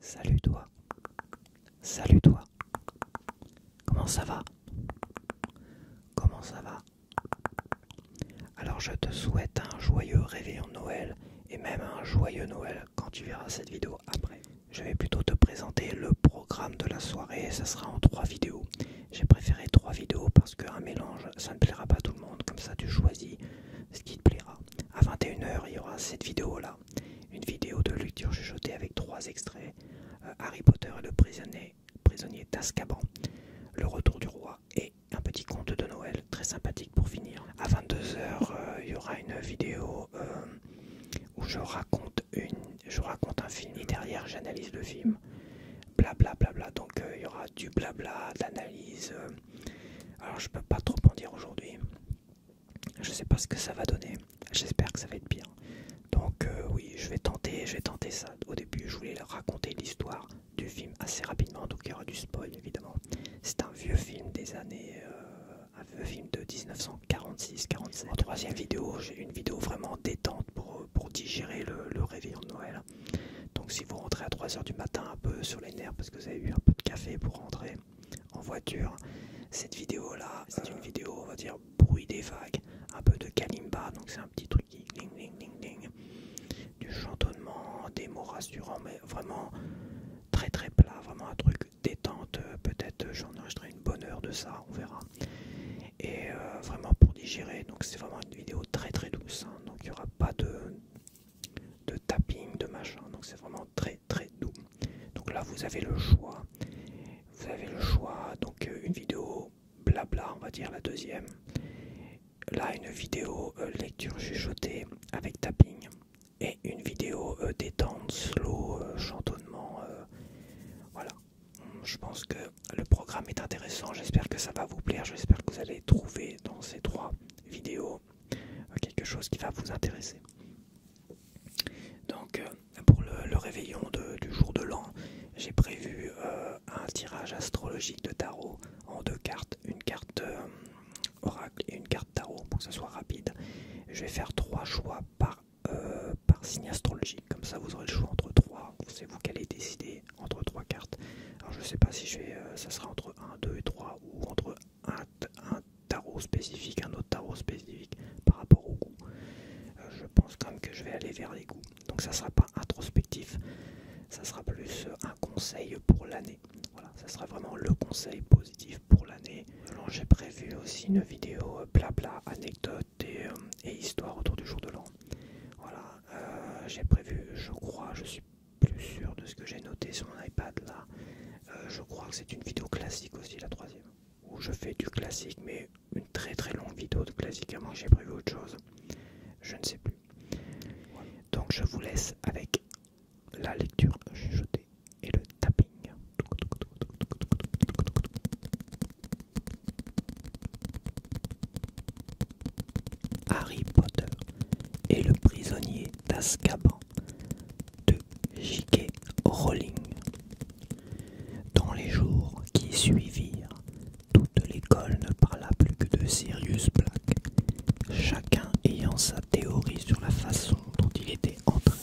Salut toi. Salut toi. Comment ça va Comment ça va Alors je te souhaite un joyeux réveillon en Noël et même un joyeux Noël quand tu verras cette vidéo après. Je vais plutôt te présenter le programme de la soirée, ça sera en trois vidéos. J'ai préféré trois vidéos parce qu'un mélange, ça ne plaira pas tout le monde. Comme ça, tu choisis ce qui te plaira. À 21h, il y aura cette vidéo-là. Une vidéo de lecture chuchotée avec trois extraits. Euh, Harry Potter et le prisonnier, prisonnier Le retour du roi et un petit conte de Noël très sympathique pour finir. À 22h, euh, il y aura une vidéo euh, où je raconte, une, je raconte un film et derrière j'analyse le film bla Bla, bla, bla. Donc euh, il y aura du blabla, de l'analyse. Euh, alors je peux pas trop en dire aujourd'hui. Je sais pas ce que ça va donner. J'espère que ça va être bien. Donc euh, oui, je vais tenter, je vais tenter ça. Au début, je voulais raconter l'histoire du film assez rapidement, donc il y aura du spoil évidemment. C'est un vieux film des années, un vieux film de 1946-47. En troisième vidéo, j'ai une vidéo vraiment détente pour, pour digérer le, le réveillon de Noël. Donc si vous rentrez à 3h du matin un peu sur les nerfs parce que vous avez eu un peu de café pour rentrer en voiture, cette vidéo là, c'est une euh. vidéo on va dire bruit des vagues, un peu de kalimba, donc c'est un petit truc qui ding ding ding ding, du chantonnement, des mots rassurants, mais vraiment très très plat, vraiment un truc détente, euh, peut-être euh, j'en enregistrerai une bonne heure de ça, on verra. Et euh, vraiment pour digérer, donc c'est vraiment une vidéo très très douce, hein. donc il n'y aura pas de, de tapping, de machin, donc c'est vraiment très très doux. Donc là vous avez le choix, vous avez le choix, donc euh, une vidéo blabla on va dire la deuxième, là une vidéo euh, lecture chuchotée avec tapping et une vidéo détente, slow, chantonnement, voilà je pense que le programme est intéressant. J'espère que ça va vous plaire. J'espère que vous allez trouver dans ces trois vidéos euh, quelque chose qui va vous intéresser. Donc, euh, pour le, réveillon du jour de l'an, j'ai prévu euh, un tirage astrologique de tarot en deux cartes, une carte oracle et une carte tarot pour que ce soit rapide. Je vais faire trois choix par, par signe astrologique, comme ça vous aurez le choix entre trois. C'est vous décider entre trois cartes. Alors je sais pas si je vais, euh, ça sera entre 1, 2 et 3 ou entre un, tarot spécifique, un autre tarot spécifique par rapport au goût. Euh, je pense quand même que je vais aller vers les goûts. Donc ça sera pas introspectif, ça sera plus euh, un conseil pour l'année. Voilà, ça sera vraiment le conseil positif pour l'année. J'ai prévu aussi une vidéo blabla anecdote euh, et, histoire autour du jour de l'an. Voilà, euh, j'ai prévu, je crois, je suis plus sûr de ce que j'ai noté sur mon iPad là. Euh, je crois que c'est une vidéo classique aussi, la troisième, où je fais du classique, mais une très très longue vidéo de classique, à moins que j'ai prévu autre chose. Je ne sais plus. Donc je vous laisse avec la lecture chuchotée et le tapping. Harry Potter et le prisonnier d'Azkaban de J.K. Rowling. Dans les jours qui suivirent, toute l'école ne parla plus que de Sirius Black, chacun ayant sa théorie sur la façon dont il était entré.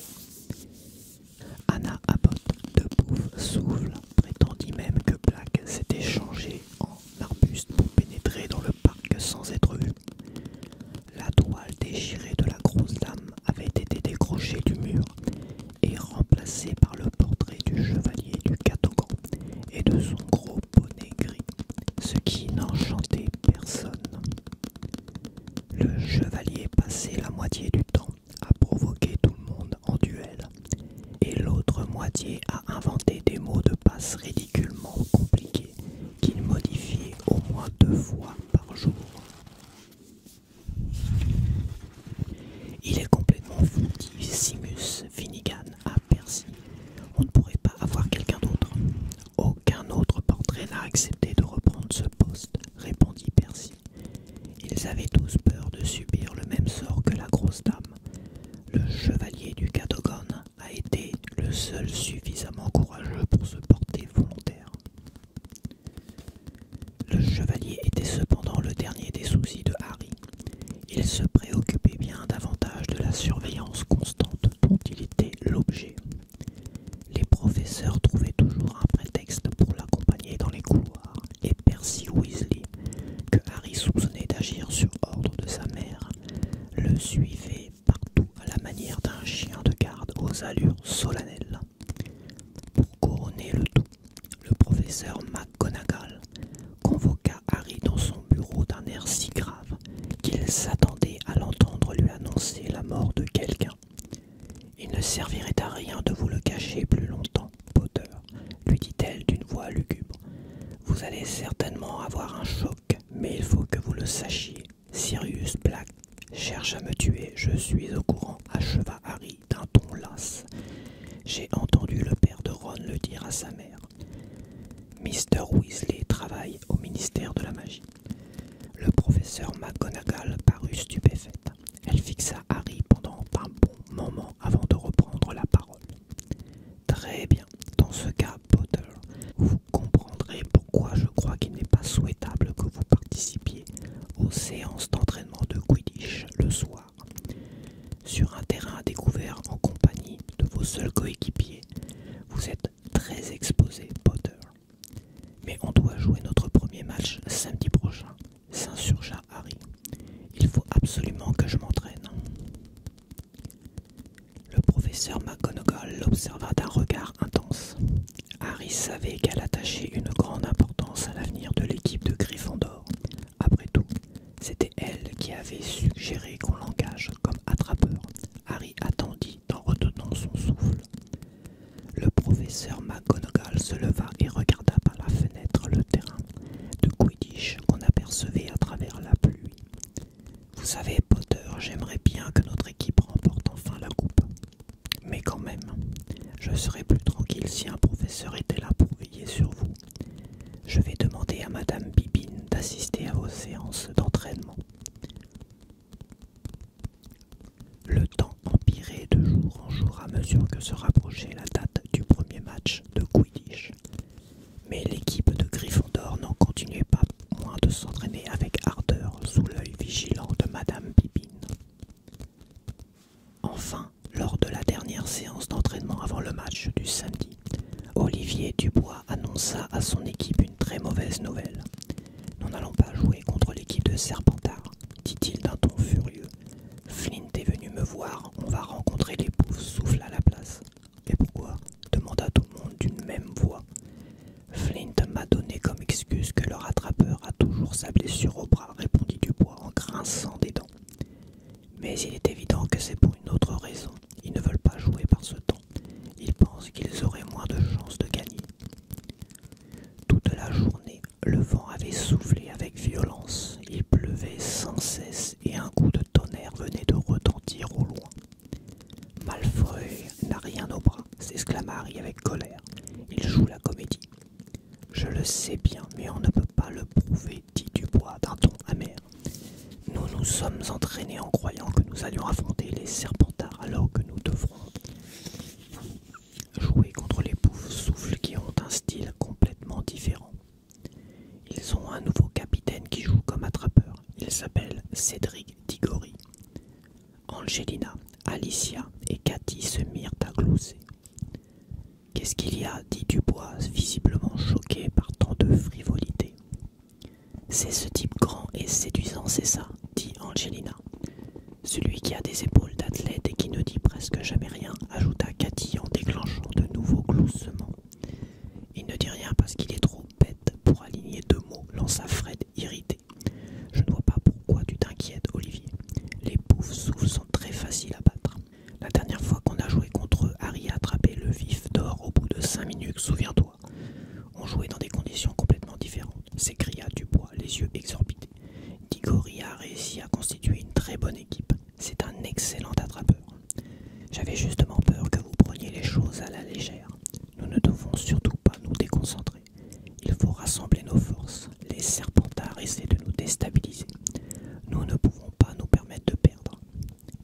Anna Abbott de Pouf souffle prétendit même que Black s'était changé en arbuste pour pénétrer dans le parc sans être vu. La toile déchirée de la grosse dame avait été décrochée du mur et remplacée par le portrait du chevalier du Catogan et de son gros bonnet gris, ce qui n'enchantait personne. Le chevalier passait la moitié du temps à provoquer tout le monde en duel, et l'autre moitié a inventé des mots de passe ridiculement compliqués qu'il modifiait au moins deux fois par jour. Il est complètement fou, dit Simus Finnegan à Percy. On ne pourrait pas avoir quelqu'un d'autre. Aucun autre portrait n'a accepté de reprendre ce poste, répondit Percy. Ils avaient tous peur de subir le même sort que la grosse dame le chevalier du Cadogan a été le seul suffisamment courageux pour se porter volontaire. Le chevalier était cependant le dernier des soucis de Harry. Il se préoccupait bien davantage de la surveillance constante dont il était l'objet. Les professeurs trouvaient toujours un prétexte pour l'accompagner dans les couloirs. Et Percy Weasley, que Harry soupçonnait d'agir sur ordre de sa mère, le suivait partout à la manière d'un chien de garde aux allures solennelles. Pour couronner le tout, le professeur McGonagall convoqua Harry dans son bureau d'un air si grave qu'il s'attendait à l'entendre lui annoncer la mort de quelqu'un. Il ne servirait à rien de vous le cacher plus longtemps Potter, lui dit-elle d'une voix lugubre. Vous allez certainement avoir un choc, mais il faut que vous le sachiez. Sirius Black cherche à me tuer, je suis au courant, acheva Harry d'un ton las. J'ai entendu le père de Ron le dire à sa mère. Mr. Weasley travaille au ministère de la magie. Le professeur McGonagall parut stupéfaite. Elle fixa Harry pendant un bon moment avant de reprendre la parole. Très bien, dans ce cas, Potter, vous comprendrez pourquoi je crois qu'il n'est pas souhaitable que vous participiez aux séances d'entraînement de Quidditch le soir, sur un terrain découvert en compagnie de vos seuls coéquipiers. Vous êtes très exposé, Potter. Mais on doit jouer notre premier match samedi prochain. Saint-Sur-Jardin. Harry. Il faut absolument que je m'entraîne. Le professeur McGonagall l'observa d'un regard intense. Harry savait qu'elle attachait une grande importance à l'avenir de l'équipe de Gryffondor. Après tout, c'était elle qui avait suggéré qu'on l'engage comme attrapeur. Harry attendit en retenant son souffle. Le professeur McGonagall se leva et regarda par la fenêtre le terrain de Quidditch qu'on apercevait à travers la pluie. Vous savez, Potter, j'aimerais bien que notre équipe remporte enfin la coupe. Mais quand même, je serais plus tranquille si un professeur était là pour veiller sur vous. Je vais demander à Madame Bibine d'assister à vos séances d'entraînement. Le temps empirait de jour en jour à mesure que se rapprochait la date du premier match de Quidditch. Mais l'équipe de Gryffondor n'en continuait pas moins de s'entraîner avec ardeur sous l'œil vigilant de Madame Pipine. Enfin, lors de la dernière séance d'entraînement avant le match du samedi, Olivier Dubois annonça à son équipe une très mauvaise nouvelle. Nous n'allons pas jouer contre l'équipe de Serpentard, dit-il d'un ton furieux. Flint est venu me voir, on va rencontrer les souffle souffla à la place. Et pourquoi demanda tout le monde d'une même voix. Flint m'a donné comme excuse que leur attrapeur a toujours sa blessure au bras, répondit Dubois en grinçant des dents. Mais il est évident que c'est pour une autre raison. Ils ne veulent pas jouer par ce temps. Ils pensent qu'ils auraient moins de chances de gagner. Toute la journée, le vent avait soufflé avec violence. Il pleuvait sans cesse et un coup de tonnerre venait de retentir au loin. Malfoy n'a rien au bras, s'exclama Harry avec colère. Il joue la comédie. Je le sais bien, mais on ne peut pas le prouver, dit Dubois d'un ton amer. Nous nous sommes entraînés en croyant que nous allions affronter les serpentards alors que nous devrons jouer contre les bouffes souffles qui ont un style complètement différent. Ils ont un nouveau capitaine qui joue comme attrapeur. Il s'appelle Cédric Digori. Angelina, Alicia et Cathy se mirent à glousser. Qu'est-ce qu'il y a dit Dubois, visiblement choqué par tant de frivolité. C'est ce type grand et séduisant, c'est ça, dit Angelina. Celui qui a des épaules d'athlète et qui ne dit presque jamais rien, ajouta Cathy en déclenchant de nouveaux gloussements. Il ne dit rien parce qu'il est trop bête pour aligner deux mots, lança Fred irrité. Je ne vois pas pourquoi tu t'inquiètes, Olivier. Les poufs souffles sont très faciles à battre. La dernière fois qu'on a joué contre eux, Harry a attrapé le vif d'or au bout de cinq minutes, souviens-toi. On jouait dans des conditions complètement différentes, s'écria Dubois, les yeux exorbités. Digori a réussi à constituer une très bonne équipe. C'est un excellent attrapeur. J'avais justement peur que vous preniez les choses à la légère. Nous ne devons surtout pas nous déconcentrer. Il faut rassembler nos forces. Les serpentards essaient de nous déstabiliser. Nous ne pouvons pas nous permettre de perdre.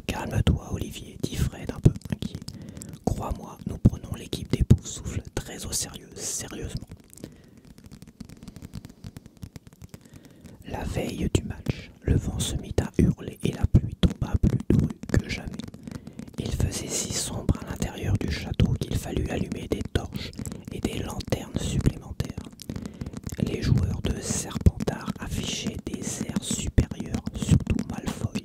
Calme-toi, Olivier, dit Fred un peu inquiet. Crois-moi, nous prenons l'équipe des pauvres souffles très au sérieux, sérieusement. La veille du match, le vent se mit à hurler et la pluie tomba plus dure que jamais. Il faisait si sombre à l'intérieur du château qu'il fallut allumer des torches et des lanternes supplémentaires. Les joueurs de Serpentard affichaient des airs supérieurs, surtout Malfoy.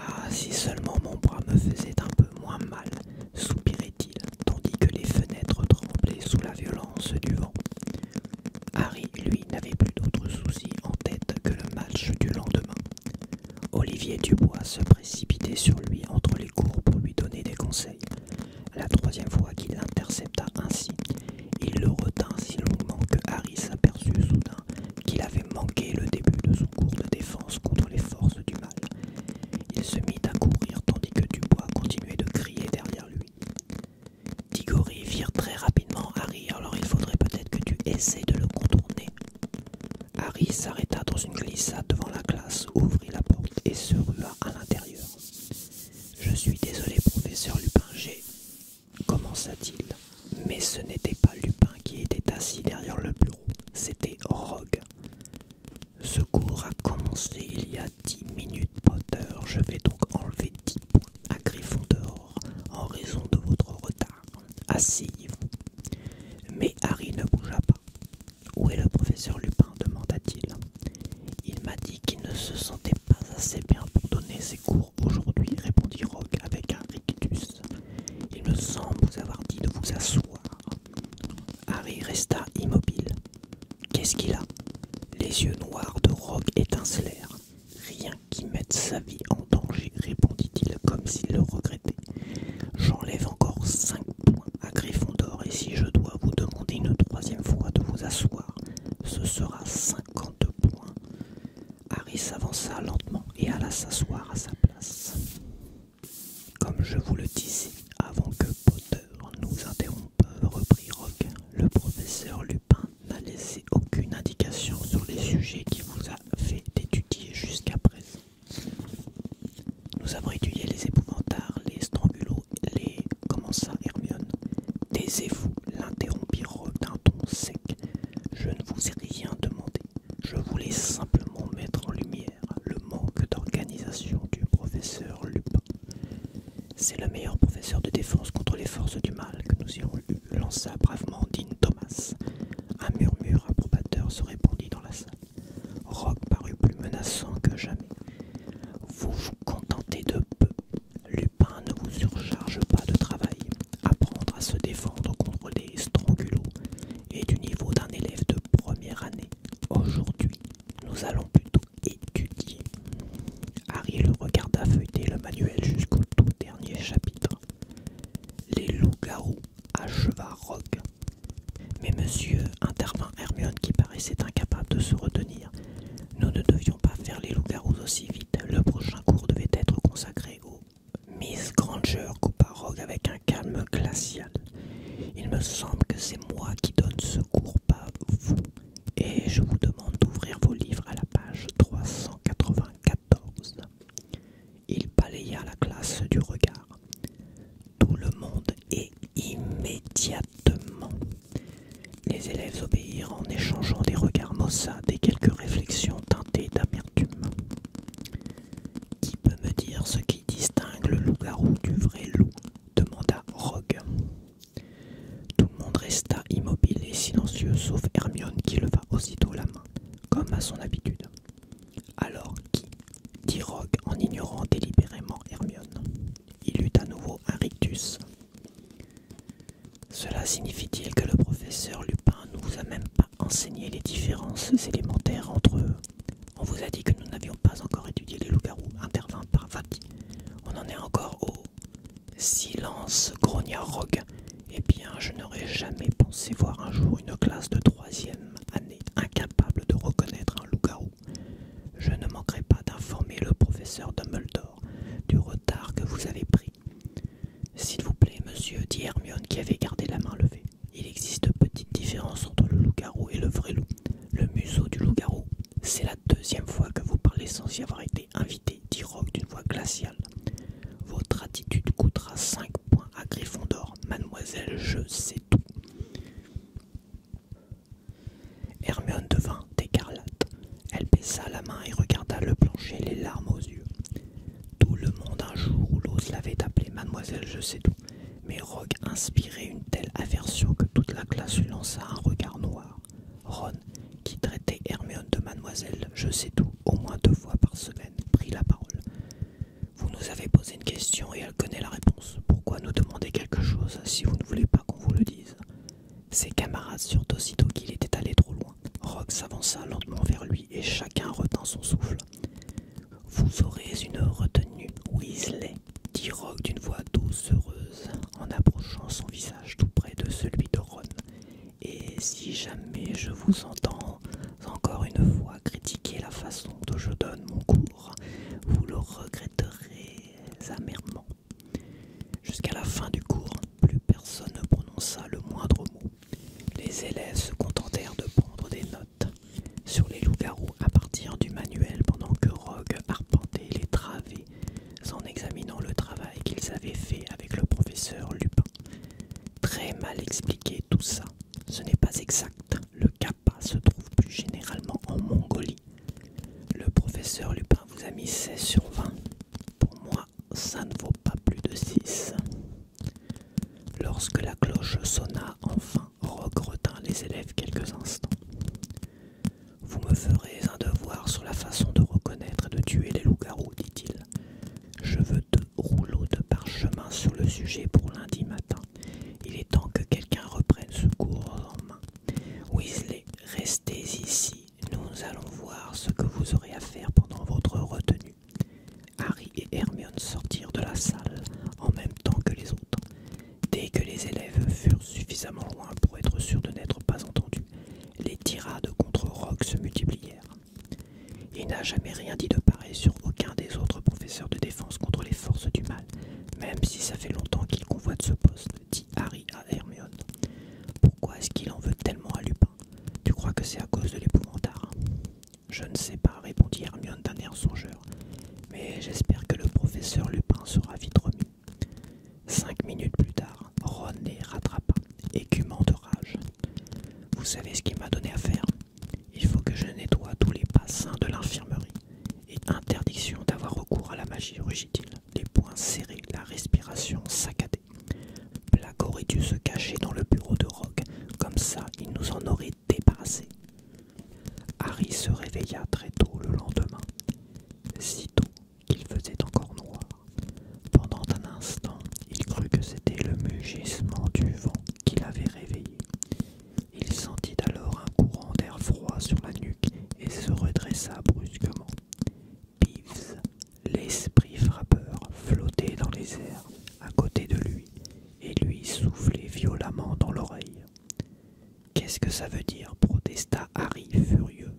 Ah, si seulement mon bras me faisait un peu moins mal, soupirait-il, tandis que les fenêtres tremblaient sous la violence du vent. Harry, lui, n'avait plus d'autre souci en tête que le match du lendemain. Olivier Dubois se précipitait sur lui entre les cours pour lui donner des conseils. La troisième fois qu'il l'intercepta ainsi, il le retint si longuement que Harry s'aperçut soudain qu'il avait manqué le début de son cours de défense contre les forces du mal. Il se mit à courir tandis que Dubois continuait de crier derrière lui. Digory vire très rapidement Harry, alors il faudrait peut-être que tu essaies de le contourner. Harry s'arrêta dans une glissade devant la classe, ouvrit la porte et se rua à l'intérieur. Je suis désolé, professeur Lupin, j'ai. commença-t-il. Mais ce n'était pas Lupin qui était assis derrière le bureau, c'était Rogue. Ce cours a commencé il y a dix minutes. Potter, je vais donc enlever dix points à Gryffondor en raison de votre retard. Asseyez-vous. Mais Harry ne bougea pas. Où est le professeur Lupin demanda-t-il. Il m'a dit qu'il ne se sentait pas assez bien pour donner ses cours aujourd'hui, répondit Rogue avec un rictus. Il me semble vous avoir dit de vous asseoir. Harry resta immobile. Qu'est-ce qu'il a Les yeux noirs de Rogue étincelèrent. Rien qui mette sa vie en danger, répondit-il comme s'il le regrettait. J'enlève encore cinq points à Griffon d'or et si je dois vous demander une troisième fois de vous asseoir, ce sera cinquante points. Harris s'avança lentement et alla s'asseoir à sa place. Comme je vous le disais avant que Potter nous interrompe, reprit Rock, le professeur Lupin n'a laissé aucune indication sur les sujets qu'il vous a fait étudier jusqu'à présent. Nous avons étudié les épouvantards, les strangulots, les... commença Hermione. Taisez-vous, l'interrompit Rock d'un ton sec. Je ne vous ai rien demandé. Je voulais simplement mettre en lumière le manque d'organisation du professeur Lupin. C'est le meilleur professeur de défense contre les forces du mal que nous ayons eu, lança bravement Dean Thomas. Un murmure approbateur se répandit dans la salle. Rock parut plus menaçant que jamais. Vous vous contentez de peu. Lupin ne vous surcharge pas de travail. Apprendre à se défendre contre des strangulots est du niveau d'un élève de première année. Aujourd'hui, nous allons plutôt étudier. Harry le regarda feuilleter le manuel jusqu'au tout dernier chapitre. Les loups-garous acheva Rogue. Mais monsieur, intervint Hermione qui paraissait incapable de se retenir. Nous ne devions pas faire les loups-garous aussi vite. Le prochain cours devait être consacré au. Miss Granger coupa Rogue avec un calme glacial. Il me semble que c'est moi qui donne ce cours, pas vous et je vous demande d'ouvrir vos livres à la page 394. Il balaya la classe du regard. Tout le monde est immédiatement. Les élèves obéirent en échangeant des regards maussades et quelques réflexions teintées d'amertume. Qui peut me dire ce qui distingue le loup-garou du vrai loup demanda Rogue. Tout le monde resta immobile et silencieux, sauf Hermione qui leva aussitôt la main, comme à son habitude. Alors qui dit Rogue en ignorant délibérément Hermione. Il eut à nouveau un rictus. Cela signifie-t-il que le professeur Lupin ne vous a même pas enseigné les différences élémentaires entre eux On vous a dit que nous n'avions pas encore étudié les loups-garous, intervint par Vati. On en est encore au Silence, grogna Rogue. Eh bien, je n'aurais jamais pensé voir un jour une classe de troisième année incapable de reconnaître un loup-garou. Je ne manquerai pas d'informer le professeur Dumbledore du retard que vous avez pris. S'il vous plaît, monsieur, dit Hermione qui avait gardé la main levée. Il existe petite différence entre le loup-garou et le vrai loup. Le museau du loup-garou, c'est la deuxième fois que vous parlez sans y avoir été invité, dit Rogue d'une voix glaciale. Votre attitude coûtera cinq points à Griffon d'or. mademoiselle, je sais tout. Hermione devint écarlate. Elle baissa la main et regarda le plancher, les larmes aux yeux. Tout le monde un jour ou l'os l'avait appelé mademoiselle, je sais tout. Mais Rogue inspirait une telle aversion que toute la classe lui lança un regard noir. Ron, qui traitait Hermione de mademoiselle, je sais tout, au moins deux fois par semaine, prit la parole. Vous nous avez posé une question et elle connaît la réponse. Pourquoi nous demander quelque chose si vous ne voulez pas qu'on vous le dise Ses camarades surent aussitôt qu'il était allé trop loin. Rogue s'avança lentement vers lui et chacun retint son souffle. Vous aurez une retenue, Weasley, dit Rogue d'une voix douce, heureuse, en approchant son visage tout près de celui de Ron. Et si jamais je vous entends encore une fois critiquer la façon dont je donne mon cours, vous le regretterez amèrement. Jusqu'à la fin du cours, plus personne ne prononça le moindre mot. Les élèves se contentèrent de prendre des notes sur les loups-garous à partir du manuel pendant que Rogue arpentait les travées en examinant le travail qu'ils avaient fait avec le professeur Lupin. Très mal expliqué tout ça. Ce n'est pas exact. Le kappa se trouve plus généralement en Mongolie. Le professeur Lupin vous a mis 16 sur 20. Pour moi, ça ne vaut pas plus de 6. Lorsque la cloche sonna, enfin, retint les élèves quelques instants. Vous me ferez un devoir sur la façon de reconnaître et de tuer les loups-garous, dit-il. Je veux deux rouleaux de parchemin sur le sujet pour lundi matin. Il est temps que quelqu'un reprenne ce cours en main. Weasley, restez ici. Nous allons voir ce que vous aurez à faire pendant votre retenue. Harry et Hermione sortirent de la salle en même temps que les autres. Dès que les élèves furent suffisamment loin pour être sûrs de n'être pas entendus, les tirades contre Rock se multiplièrent. Il n'a jamais rien dit de pareil sur aucun des autres professeurs de défense contre les forces du mal, même si ça fait longtemps qu'il convoite ce poste, dit Harry à Hermione. Pourquoi est-ce qu'il en veut tellement à Lupin Tu crois que c'est à cause de l'épouvantard hein Je ne sais pas, répondit Hermione d'un air songeur, mais j'espère que le professeur Lupin sera vite remis. Cinq minutes plus tard, Ron rattrapa, écumant de rage. Vous savez ce qu'il m'a donné à faire Il faut que je nettoie tous les bassins de l'infirmerie. Et interdiction d'avoir recours à la magie, rugit-il, les poings serrés, la respiration saccadée. Black aurait dû se cacher dans le bureau de Rogue, comme ça il nous en aurait débarrassé. Harry se réveilla très tôt le lendemain. Sitôt, qu'il faisait encore noir. Pendant un instant, il crut que c'était le mugissement du vent qui l'avait réveillé. Il sentit alors un courant d'air froid sur la nuque et se redressa brusquement. Peeves, l'esprit frappeur, flottait dans les airs à côté de lui et lui soufflait violemment dans l'oreille. Qu'est-ce que ça veut dire protesta Harry furieux.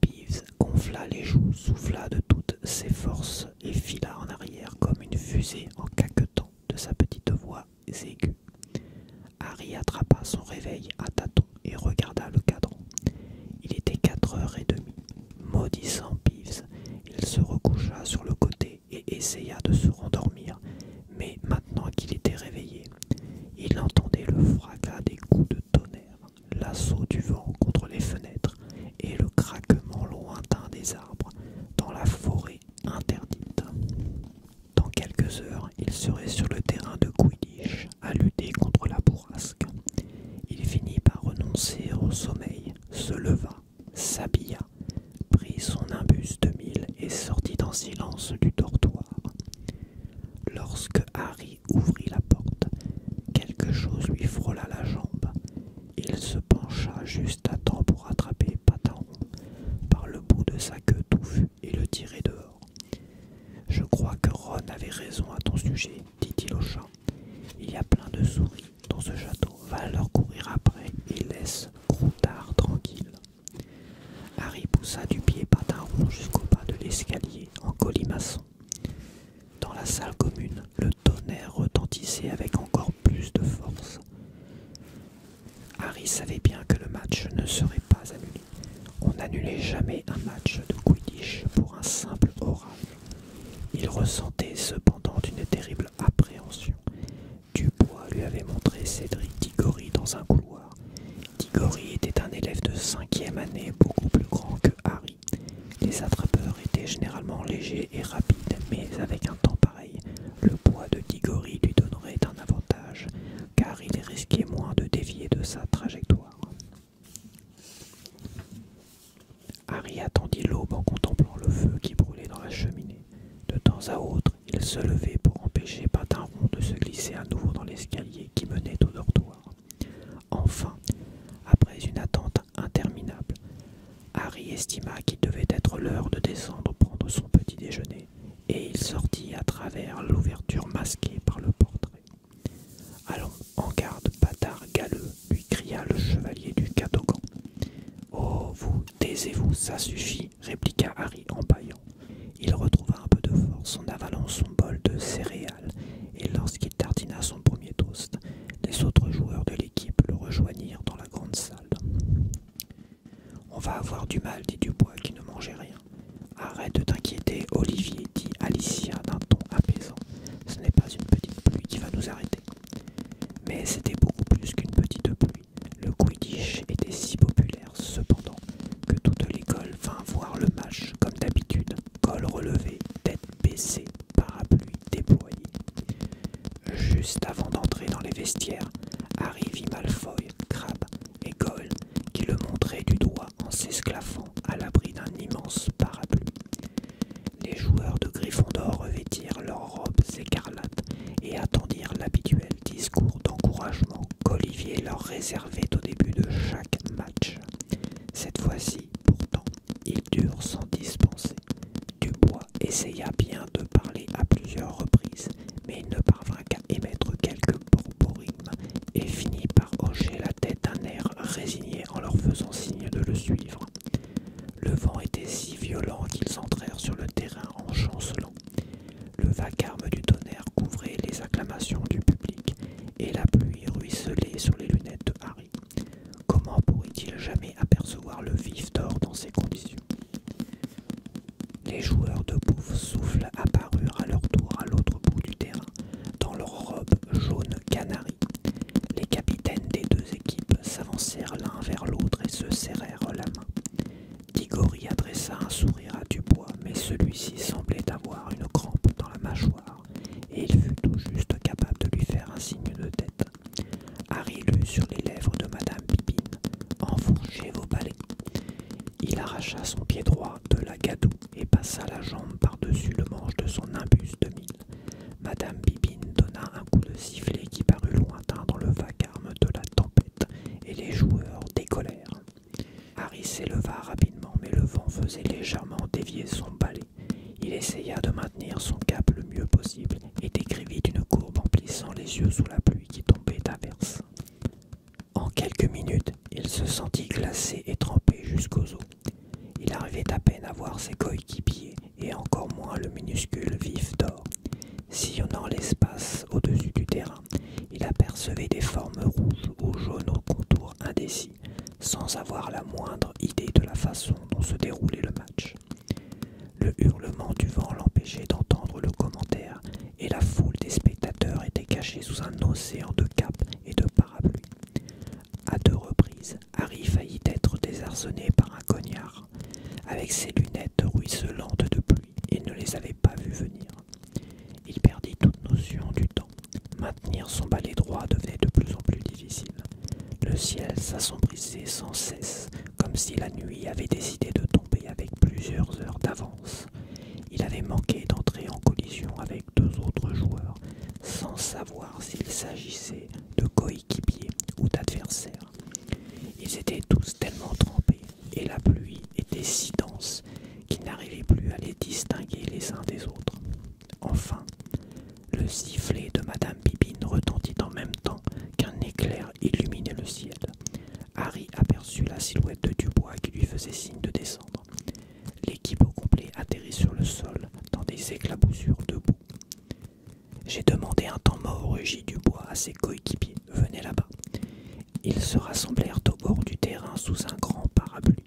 Peeves gonfla les joues, souffla de toutes ses forces et fila en arrière comme une fusée en caquetant de sa petite voix aiguë. Harry attrapa son réveil à tâtons et regarda le cadran. Il était quatre heures et demie. Maudissant Peeves, il se recoucha sur le côté et essaya de se rendormir, mais maintenant qu'il était réveillé, il entendait le fracas des coups de tonnerre, l'assaut du vent contre les fenêtres et le craquement lointain des arbres dans la forêt interdite. Dans quelques heures, il serait sur le terrain de Quidditch à lutter contre la bourrasque. Il finit par renoncer au sommeil, se leva, s'habilla, prit son imbus de mille et sortit en silence du dortoir. Lorsque Harry ouvrit la porte, quelque chose lui frôla la jambe. Il se pencha juste à temps pour attraper Pataron par le bout de sa queue touffue et le tirer dehors. Je crois que Ron avait raison à ton sujet, dit-il au chat. Il y a plein de souris dans ce château. Va leur courir après et laisse Groutard tranquille. Harry poussa du pied rond jusqu'au bas de l'escalier en colimaçon. Dans la salle commune, le tonnerre retentissait avec encore plus de force. Harry savait bien que le match ne serait pas annulé. On n'annulait jamais un match de Quidditch pour un simple orage. Il ressentait cependant une terrible appréhension. Dubois lui avait montré Cédric Diggory dans un couloir. Diggory était un élève de cinquième année beaucoup plus grand que Harry. Les attrapeurs étaient généralement légers et rapides, mais avec un temps pareil, le poids de Diggory lui donnerait un avantage, car il risquait moins de dévier de sa trajectoire. Harry attendit l'aube en contemplant le feu qui brûlait dans la cheminée. De temps à autre, il se levait pour empêcher Patinron de se glisser à nouveau dans l'escalier qui menait au dortoir. Enfin, après une attente interminable, Harry estima qu'il devait être l'heure de descendre prendre son petit déjeuner, et il sortit à travers l'ouverture masquée par le portrait. Allons, en garde, bâtard galeux, lui cria le chevalier du Cadogan. Oh, vous, taisez-vous, ça suffit, répliqua Harry en bâillant. Il retrouva un peu de force en avalant son bol de céréales, et lorsqu'il tartina son premier toast, les autres joueurs de l'équipe le rejoignirent dans la grande salle. On va avoir du mal, dit Dubois qui ne mangeait rien. Arrête de t'inquiéter, Olivier, dit Alicia d'un ton apaisant. Ce n'est pas une petite pluie qui va nous arrêter. Mais c'était beaucoup plus qu'une petite pluie. Le Quidditch était si populaire cependant, que toute l'école vint voir le match comme d'habitude, col relevé, tête baissée, parapluie déployé. Juste avant d'entrer dans les vestiaires, arrive Malfoy, Crabbe et Cole qui le montraient du doigt en s'esclaffant à l'abri d'un immense parapluie. Les joueurs de Gryffondor revêtirent leurs robes écarlates et attendirent l'habituel discours d'encouragement qu'Olivier leur réservait au début de chaque match. Cette fois-ci, pourtant, ils durent s'en dispenser. Dubois essaya bien de parler à plusieurs reprises, mais il ne parvint qu'à émettre quelques borborigmes et finit par hocher la tête d'un air résigné en leur faisant signe de le suivre. Le vent était si violent qu'ils entrèrent sur le terrain en chancelant. Le vacarme du tonnerre couvrait les acclamations du public, et la pluie ruisselait sur les lunettes de Harry. Comment pourrait-il jamais apercevoir le vif d'or dans ces conditions Les joueurs de bouffe souffle apparurent à leur tour à l'autre bout du terrain, dans leurs robes jaune canaries. Les capitaines des deux équipes s'avancèrent l'un vers l'autre et se serrèrent la main tigori adressa un sourire à Dubois, mais celui-ci semblait avoir une crampe dans la mâchoire, et il fut tout juste capable de lui faire un signe de tête. Harry lut sur les lèvres de Madame Bibine Enfourchez vos palais !» Il arracha son pied droit de la gadoue et passa la jambe par-dessus le manche de son imbus de mille. Madame Bibine donna un coup de sifflet qui parut lointain dans le vacarme de la tempête, et les joueurs décollèrent. Harry s'éleva rapidement, mais le vent faisait légèrement dévier son balai. Il essaya de maintenir son cap le mieux possible et décrivit une courbe en plissant les yeux sous la pluie qui tombait inverse. En quelques minutes, il se sentit glacé et trempé jusqu'aux os. Il arrivait à peine à voir ses coéquipiers et encore moins le minuscule vif d'or. Sillonnant l'espace au-dessus du terrain, il apercevait des formes rouges ou jaunes aux contours indécis, sans avoir la moindre idée de la façon dont se déroulait le match. Le hurlement du vent l'empêchait d'entendre le commentaire, et la foule des spectateurs était cachée sous un océan de capes et de parapluies. À deux reprises, Harry faillit être désarçonné par un cognard, avec ses lunettes ruisselantes de pluie, il ne les avait pas vues venir. Il perdit toute notion du temps. Maintenir son balai droit devenait de plus en plus difficile. Le ciel s'assombrissait sans cesse, comme si la nuit avait décidé de tomber avec plusieurs heures d'avance. Il avait manqué d'entrer en collision avec deux autres joueurs, sans savoir s'il s'agissait de coéquipiers ou d'adversaires. Ils étaient tous tellement trempés, et la pluie était si dense qu'il n'arrivait plus à les distinguer les uns des autres. Enfin, le sifflet de Madame Bibine retentit en même temps qu'un éclair illuminait le ciel. Harry aperçut la silhouette de Dubois qui lui faisait signe de descendre. L'équipe au complet atterrit sur le sol dans des éclaboussures de boue. J'ai demandé un temps mort, rugit Dubois à ses coéquipiers venez là-bas. Ils se rassemblèrent au bord du terrain sous un grand parapluie.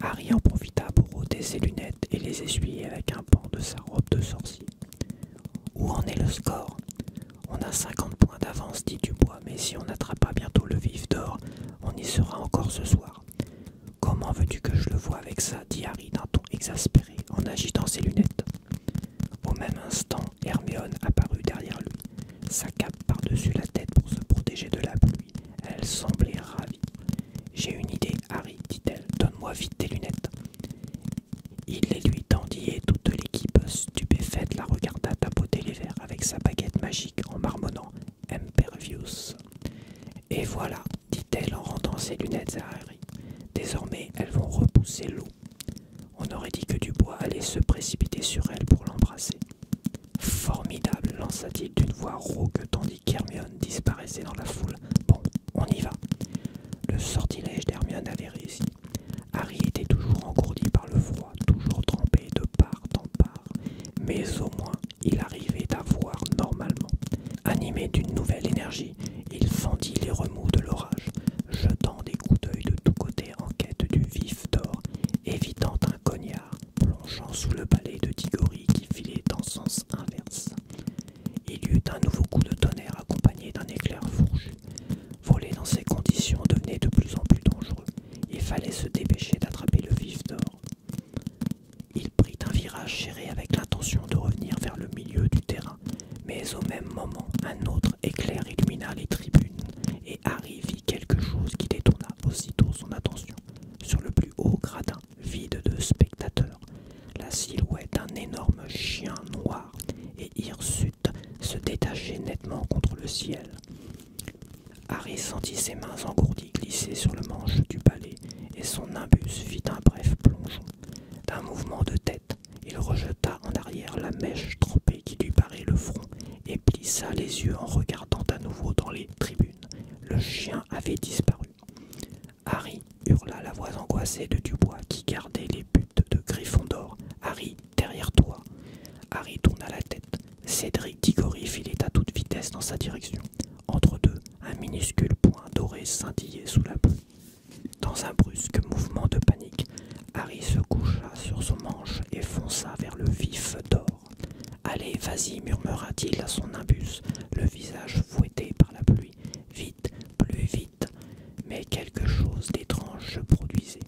Harry en profita pour ôter ses lunettes et les essuyer avec un pan de sa robe de sorcier. Où en est le score On a 50 points d'avance, dit Dubois, mais si on n'attrape pas bientôt le vif d'or, on y sera encore ce soir. Comment veux-tu que je le vois avec ça dit Harry d'un ton exaspéré en agitant ses lunettes. Au même instant, Hermione apparut derrière lui. Sa cape par-dessus la tête pour se protéger de la pluie. Elle semblait ravie. J'ai une idée, Harry, dit-elle. Donne-moi vite tes lunettes. Il les lui tendit et toute l'équipe stupéfaite la regarda tapoter les verres avec sa baguette magique en marmonnant Impervious. Et voilà, dit-elle en rendant ses lunettes à Harry. Désormais, elles vont repousser l'eau. On aurait dit que Dubois allait se précipiter sur elle pour l'embrasser. Formidable, lança-t-il d'une voix rauque tandis qu'Hermione disparaissait dans la foule. Bon, on y va. Le sortilège d'Hermione avait réussi. Harry était toujours engourdi par le froid, toujours trempé de part en part, mais au moins il arrivait à voir normalement. Animé d'une nouvelle énergie, il fendit les remous de l'orage, jetant des coups d'œil de tous côtés en quête du vif d'or évitant un cognard plongeant sous le palais de Tigori qui filait en sens inverse. Il y eut un nouveau coup de tonnerre accompagné d'un éclair fourchu. Voler dans ces conditions devenait de plus en plus dangereux. Il fallait se dépêcher d'attraper le vif d'or. Il prit un virage serré avec l'intention de revenir vers le milieu du terrain, mais au même moment, un autre éclair illumina les tribunes et Harry quelque chose qui détourna aussitôt son attention. Sur le plus haut gradin, vide de spectateurs, la silhouette d'un énorme chien noir et hirsute se détachait nettement contre le ciel. Harry sentit ses mains engourdies glisser sur le manche du palais et son imbus fit un bref plongeon. D'un mouvement de tête, il rejeta en arrière la mèche trempée qui lui barrait le front et plissa les yeux en regardant à nouveau dans les tribunes. Le chien avait disparu. Harry hurla la voix angoissée de Dubois qui gardait les buttes de Griffon d'or. Harry, derrière toi. Harry tourna la tête. Cédric Diggory filait à toute vitesse dans sa direction. Entre deux, un minuscule point doré scintillait sous la boue. Dans un brusque mouvement de panique, Harry se coucha sur son manche et fonça vers le vif d'or. Allez, vas-y, murmura-t-il à son imbus, le visage fouetté par la pluie. Vite, plus vite. Mais quelque chose d'étrange se produisait.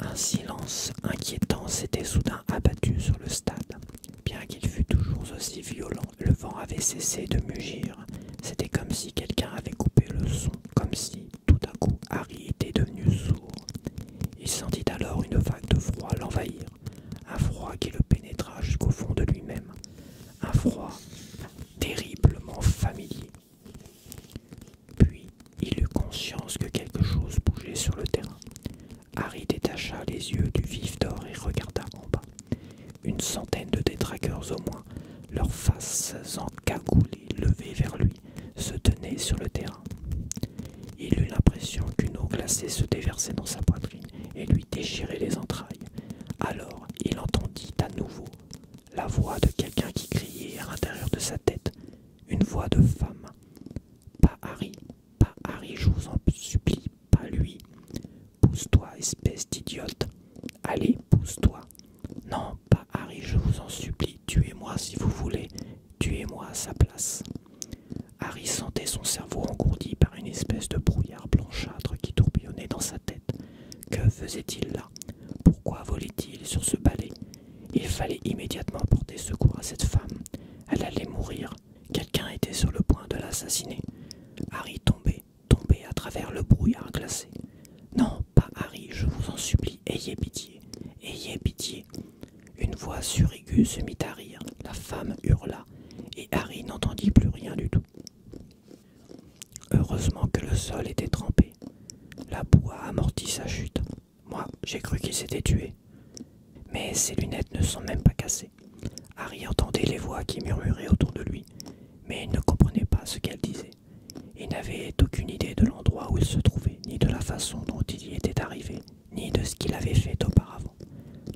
Un silence inquiétant s'était soudain abattu sur le stade. Bien qu'il fût toujours aussi violent, le vent avait cessé de mugir. C'était comme si quelqu'un avait coupé le son, comme si, tout à coup, Harry était devenu sourd. Il sentit alors une vague de froid l'envahir, un froid qui le pénétra jusqu'au fond de lui-même, un froid terriblement familier. Puis il eut conscience que quelque chose bougeait sur le terrain. Harry détacha les yeux du vif d'or et regarda en bas. Une centaine de détraqueurs au moins, leurs faces en encagoulées levées vers lui se tenait sur le terrain. Il eut l'impression qu'une eau glacée se déversait dans sa poitrine et lui déchirait les entrailles. Alors il entendit à nouveau la voix de quelqu'un qui criait à l'intérieur de sa tête, une voix de femme. Pas Harry, pas Harry, je vous en supplie, pas lui. Pousse-toi, espèce d'idiote. Allez, pousse-toi. Non, pas Harry, je vous en supplie, tuez-moi si vous voulez, Tuez-moi à sa place. Harry sentait son cerveau engourdi par une espèce de brouillard blanchâtre qui tourbillonnait dans sa tête. Que faisait-il là Pourquoi volait-il sur ce balai Il fallait immédiatement porter secours à cette femme. Elle allait mourir. Quelqu'un était sur le point de l'assassiner. Harry tombait, tombait à travers le brouillard glacé. Non, pas Harry, je vous en supplie, ayez pitié. Ayez pitié une voix suriguë se mit à rire, la femme hurla, et Harry n'entendit plus rien du tout. Heureusement que le sol était trempé. La boue a amorti sa chute. Moi, j'ai cru qu'il s'était tué. Mais ses lunettes ne sont même pas cassées. Harry entendait les voix qui murmuraient autour de lui, mais il ne comprenait pas ce qu'elles disaient. et n'avait aucune idée de l'endroit où il se trouvait, ni de la façon dont il y était arrivé ni de ce qu'il avait fait auparavant.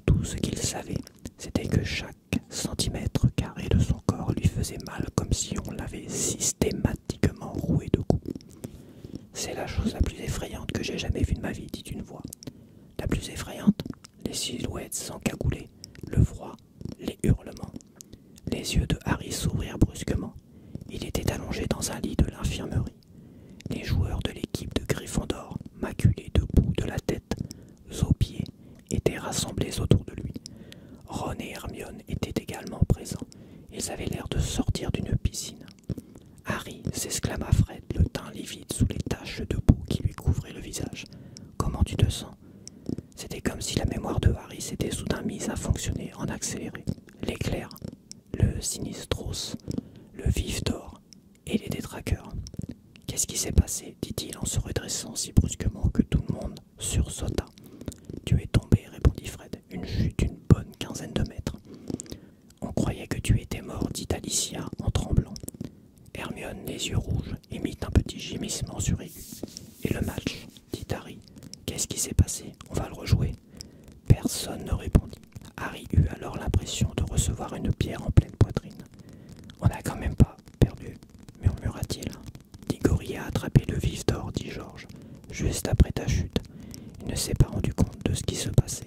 Tout ce qu'il savait, c'était que chaque centimètre carré de son corps lui faisait mal comme si on l'avait systématiquement roué de coups. C'est la chose la plus effrayante que j'ai jamais vue de ma vie, dit une voix. La plus effrayante Les silhouettes s'encagoulaient, le froid, les hurlements. Les yeux de Harry s'ouvrirent brusquement. Il était allongé dans un lit de l'infirmerie. Les joueurs de l'équipe de Gryffondor, maculés debout de la tête aux pieds, étaient rassemblés autour de lui. Ron et Hermione étaient également présents. Ils avaient l'air de sortir d'une piscine. Harry s'exclama Fred, le teint livide sous les taches de boue qui lui couvraient le visage. Comment tu te sens C'était comme si la mémoire de Harry s'était soudain mise à fonctionner en accéléré. L'éclair le Sinistros, le Vif d'Or et les détraqueurs. Qu'est-ce qui s'est passé dit-il en se redressant si brusquement que tout le monde sursauta. Tu es tombé, répondit Fred, une chute d'une bonne quinzaine de mètres. On croyait que tu étais mort, dit Alicia en tremblant. Hermione, les yeux rouges, émit un petit gémissement suraigu. Et le match, dit Harry. Qu'est-ce qui s'est passé On va le rejouer. Personne ne répondit. Harry eut alors l'impression de recevoir une pierre en pleine poitrine. On n'a quand même pas perdu, murmura-t-il. Digori a attrapé le vif d'or, dit Georges, juste après ta chute. Il ne s'est pas rendu compte de ce qui se passait.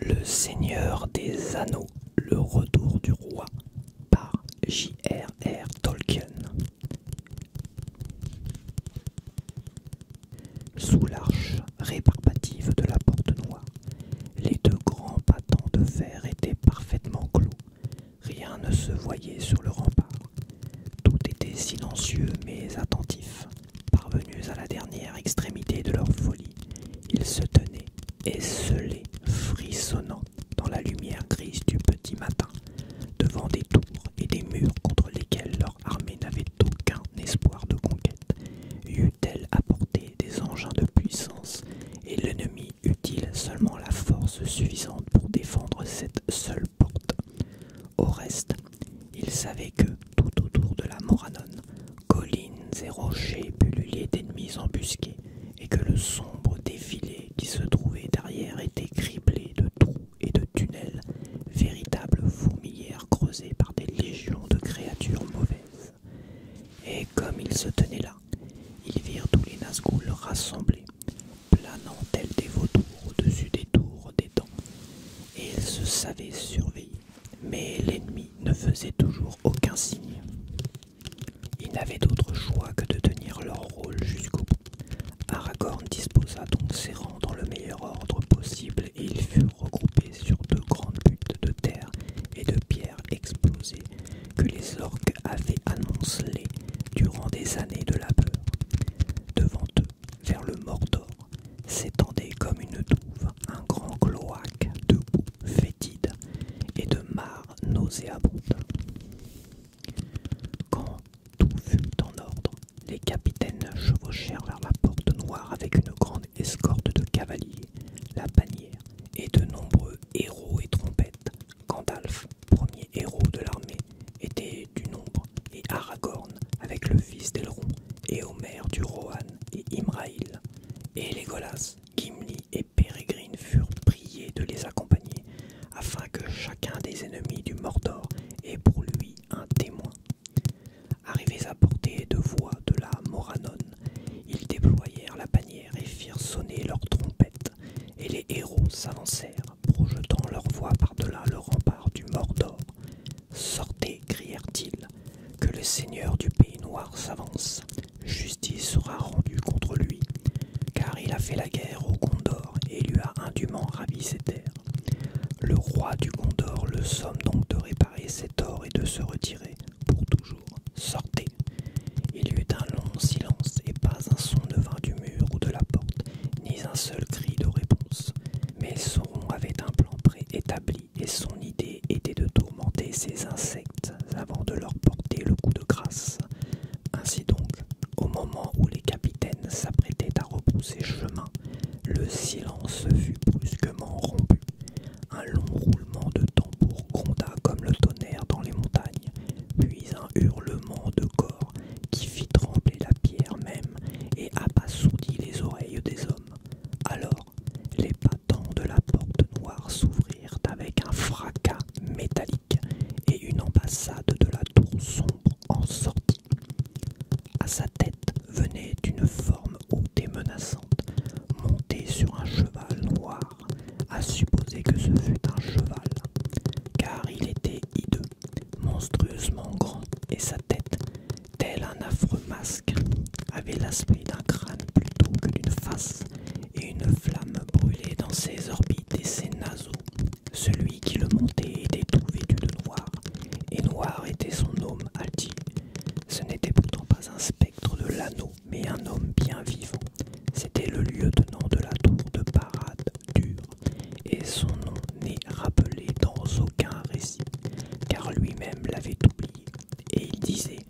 Le Seigneur des Anneaux, le retour du roi par J.R.R. Tolkien. Sous l'arche rébarbative de la porte noire, les deux grands bâtons de fer étaient parfaitement clos. Rien ne se voyait sur le rempart. Tout était silencieux mais attentif. Parvenus à la dernière extrémité de leur folie, ils se tenaient, esselés, frissonnant, dans la lumière grise du petit matin, devant des tours et des murs contre lesquels leur armée n'avait aucun espoir de conquête. Eût-elle apporté des engins de puissance, et l'ennemi eût il seulement la force suffisante pour défendre cette seule porte Au reste, ils savaient que, tout autour de la Moranone, collines et rochers pullulés d'ennemis embusqués, et que le sombre défilé qui se trouvait derrière était criblé de trous et de tunnels, véritables fourmilières creusées par des légions de créatures mauvaises. Et comme ils se tenaient là, ils virent tous les Nazgûl rassemblés, planant tels des vautours au-dessus des tours des dents, et ils se savaient surveillés mais l'ennemi ne faisait toujours aucun signe. Ils n'avaient d'autre choix que de tenir leur rôle jusqu'au bout. Aragorn disposa donc ses rangs dans le meilleur ordre possible et ils furent regroupés sur deux grandes buttes de terre et de pierres exposées que les orques avaient annoncées durant des années de labeur. Devant eux, vers le Mordor, s'étendait comme une douve un grand cloaque de boue fétide et de mares nauséabondes. Quand tout fut en ordre, les capitaines chevauchèrent vers la porte noire avec une grande escorte de cavaliers, la bannière et de nombreux héros et trompettes. Gandalf, premier héros de l'armée, était du nombre, et Aragorn avec le fils d'Elrond, et Omer du Rohan et Imraïl et les Golas, Gimli et Pérégrine furent priés de les accompagner, afin que chacun des ennemis du Mordor ait pour lui un témoin. Arrivés à portée de voix de la Morannon, ils déployèrent la bannière et firent sonner leurs trompettes, et les héros s'avancèrent, projetant leur voix par-delà le rempart du Mordor, Sortez, crièrent-ils, que le seigneur du pays noir s'avance. Justice sera rendue contre lui, car il a fait la guerre au Gondor et lui a indûment ravi ses terres. Le roi du Gondor le somme donc de réparer ses torts et de se retirer pour toujours. Sortez. Il y eut un long silence et pas un son ne vint du mur ou de la porte, ni un seul cri de réponse. Mais Sauron avait un plan préétabli et son idée était de tourmenter ces insectes avant de leur porter le coup de grâce. Ainsi donc, au moment où les capitaines s'apprêtaient à repousser chemin, le silence fut brusquement rompu. Un long roulement de tambour gronda comme le tonnerre dans les montagnes, puis un hurlement de corps qui fit trembler la pierre même et apassoudit les oreilles des hommes. Alors les battants de la porte noire s'ouvrirent avec un fracas métallique et une ambassade de la tour sombre en sortit. À sa tête venait une forme haute et menaçante, montée sur un cheval noir, à supposer que ce fût un cheval, car il était hideux, monstrueusement grand, et sa tête, tel un affreux masque, avait l'aspect d'un crâne plutôt que d'une face, et une flamme brûlait dans ses orbites et ses naseaux. Celui qui le montait était tout vêtu de noir, et noir était son homme Alti. Ce n'était pourtant pas un spectre de l'anneau, mais un homme bien vivant. C'était le lieutenant de la tour de parade dure, et son nom n'est rappelé dans aucun récit, car lui-même l'avait oublié et il disait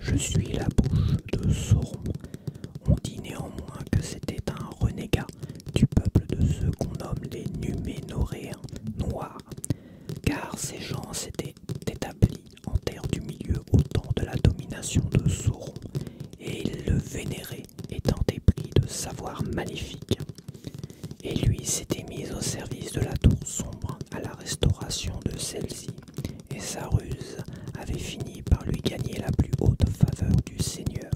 Je suis la bouche de Sauron. On dit néanmoins que c'était un renégat du peuple de ceux qu'on nomme les Numénoréens noirs, car ces gens s'étaient établis en terre du milieu au temps de la domination de Sauron, et ils le vénéraient étant épris de savoir magnifique. Et lui s'était mis au service de la tour sombre à restauration de celle-ci, et sa ruse avait fini par lui gagner la plus haute faveur du seigneur.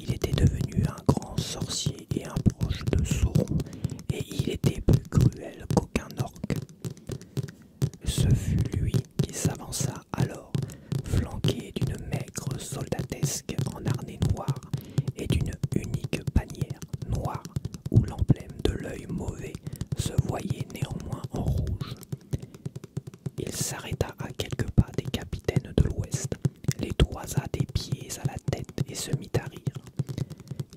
Il était devenu un grand sorcier et un proche de Sauron, et il était plus cruel qu'aucun orque. Ce fut lui qui s'avança alors, flanqué d'une maigre soldatesque en harnais noir et d'une unique bannière noire où l'emblème de l'œil mauvais se voyait néanmoins en rouge. Il s'arrêta à quelques pas des capitaines de l'Ouest, les toisa des pieds à la tête et se mit à rire.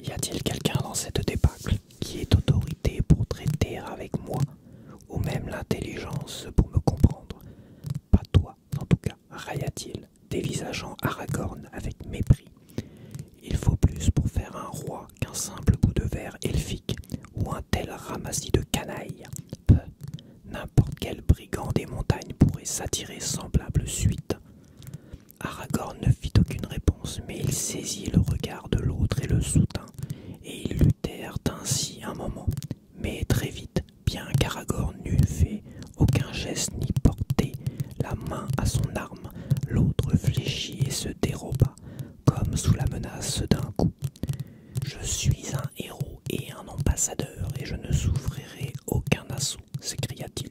Y a-t-il quelqu'un dans cette débâcle qui ait autorité pour traiter avec moi, ou même l'intelligence pour me comprendre Pas toi, en tout cas, railla-t-il, dévisageant Aragorn avec mépris. Il faut plus pour faire un roi qu'un simple bout de verre elfique ou un tel ramassis de canailles. Peu, n'importe quel brigand des montagnes pourrait s'attirer semblable suite. Aragorn ne fit aucune réponse, mais il saisit le regard de l'autre et le soutint, et ils luttèrent ainsi un moment, mais très vite, bien qu'Aragorn n'eût fait aucun geste ni porté la main à son arme, l'autre fléchit et se déroba, comme sous la menace d'un coup. Je suis un héros et un ambassadeur, et je ne souffrirai aucun assaut, s'écria-t-il.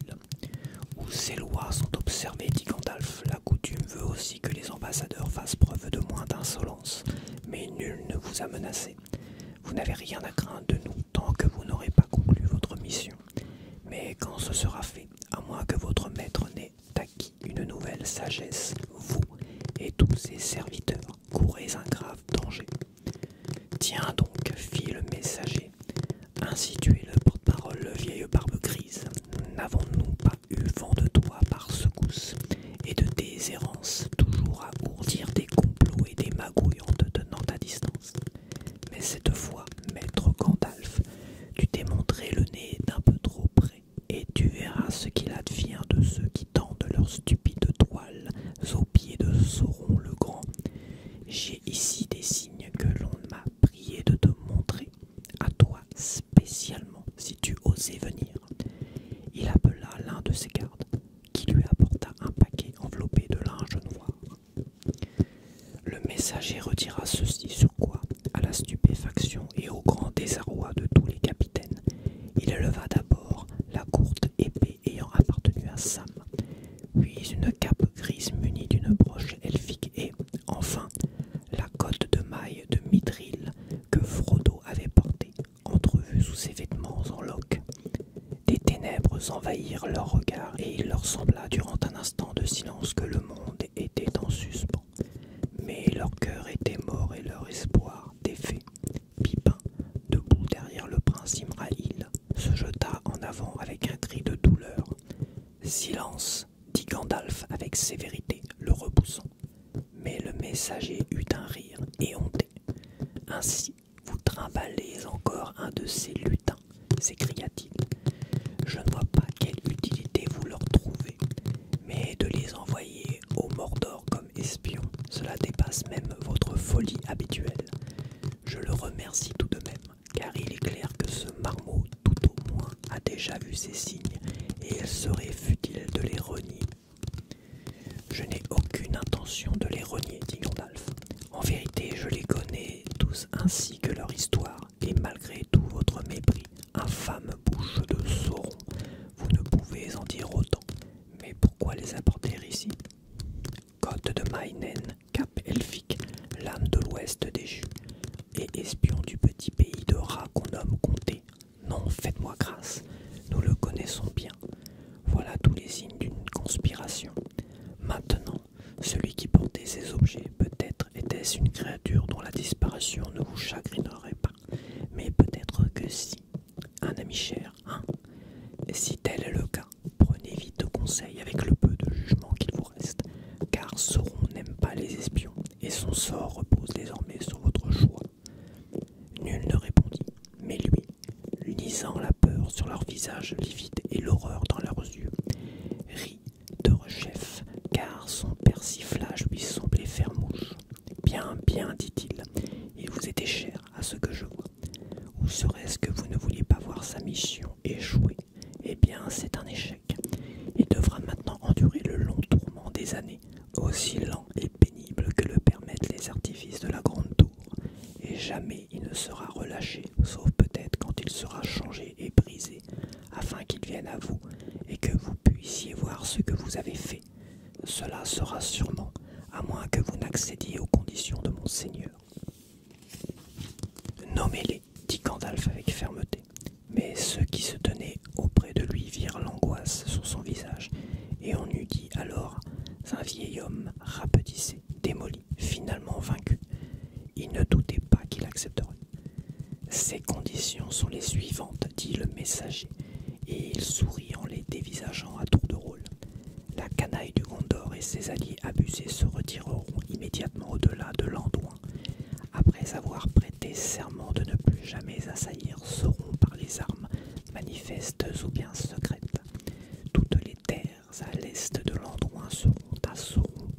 Où ces lois sont observées, dit Gandalf, la coutume veut aussi que les ambassadeurs fassent preuve de moins d'insolence, mais nul ne vous a menacé. Vous n'avez rien à craindre de nous tant que vous n'aurez pas conclu votre mission. Mais quand ce sera fait, à moins que votre maître n'ait acquis une nouvelle sagesse, vous et tous ses serviteurs courez un grave danger. Tiens donc, fit le messager, ainsi tu es le porte-parole, le vieille barbe grise. N'avons-nous pas eu vent de toi par secousse et de tes toujours à ourdir des complots et des magouilles en te tenant à distance mais cette fois, maître Gandalf, tu t'es montré le nez d'un peu trop près, et tu verras ce qu'il advient de ceux qui tendent leurs stupides toiles aux pieds de Sauron le Grand. J'ai ici des signes que l'on m'a prié de te montrer, à toi spécialement, si tu osais venir. Il appela l'un de ses gardes, qui lui apporta un paquet enveloppé de linge noir. Le messager retira ceci sur quoi, à la stupéfaction et au grand désarroi de tous les capitaines, il éleva d'abord la courte épée ayant appartenu à Sam, puis une cape grise munie d'une broche elfique et, enfin, la cote de maille de mitril que Frodo avait portée, entrevue sous ses vêtements en loques. Des ténèbres envahirent leurs regards et il leur sembla durant un instant de silence que le monde étaient en suspens, mais leur cœur était mort et leur espoir défait. Pipin, debout derrière le prince Imrahil, se jeta en avant avec un cri de douleur. Silence, dit Gandalf avec sévérité, le repoussant. Mais le messager eut un rire éhonté. Ainsi, vous trimballez encore un de ces lutins s'écria-t-il. Je ne vois pas quelle utilité vous leur trouvez, mais de les envoyer au Mordor comme espions, cela dépasse même votre folie habituelle. Je le remercie tout de même, car il est clair que ce marmot, tout au moins, a déjà vu ces signes, et il serait futile de les renier. Je n'ai aucune intention de les renier, dit Gandalf. En vérité, je les connais tous ainsi que leur histoire, et malgré tout votre mépris, infâme bouche de Sauron, vous ne pouvez en dire autant. Mais pourquoi les apporter ici Côte de Mainen, cap elfique, l'âme de l'ouest des jus, et espion du petit pays de rats qu'on nomme comté. Non, faites-moi grâce, nous le connaissons bien. Voilà tous les signes d'une conspiration. Maintenant, celui qui portait ces objets. Peut-être était-ce une créature dont la disparition ne vous chagrinerait pas, mais peut-être que si. Un ami cher, hein Si tel est le cas, prenez vite conseil avec le peu de jugement qu'il vous reste, car Sauron n'aime pas les espions, et son sort repose désormais sur votre choix. Nul ne répondit, mais lui, lisant la peur sur leur visage livides et l'horreur dans leurs yeux, rit de Rechef, car son persiflage lui semblait faire mouche. Bien, bien, dit-il, il vous était cher à ce que je vois. Ou serait-ce que vous ne vouliez pas voir sa mission échouée Eh bien, c'est un échec. Il devra maintenant endurer le long tourment des années, aussi lent et pénible que le permettent les artifices de la grande tour, et jamais il ne sera relâché, sauf peut-être quand il sera changé et brisé afin qu'il vienne à vous et que vous puissiez voir ce que vous avez fait. Cela sera sûrement, à moins que vous n'accédiez aux conditions de mon Seigneur. Nommez-les, dit Gandalf avec fermeté. Mais ceux qui se tenaient auprès de lui virent l'angoisse sur son visage, et on eût dit alors un vieil homme rapetissé, démoli, finalement vaincu. Il ne doutait pas qu'il accepterait. Ces conditions sont les suivantes, dit le messager, et il sourit en les dévisageant à tour de rôle. La canaille du Gondor et ses alliés abusés se retireront immédiatement au-delà de l'Andouin, après avoir prêté serment de ne plus jamais assaillir seront par les armes manifestes ou bien secrètes. Toutes les terres à l'est de l'Andouin seront à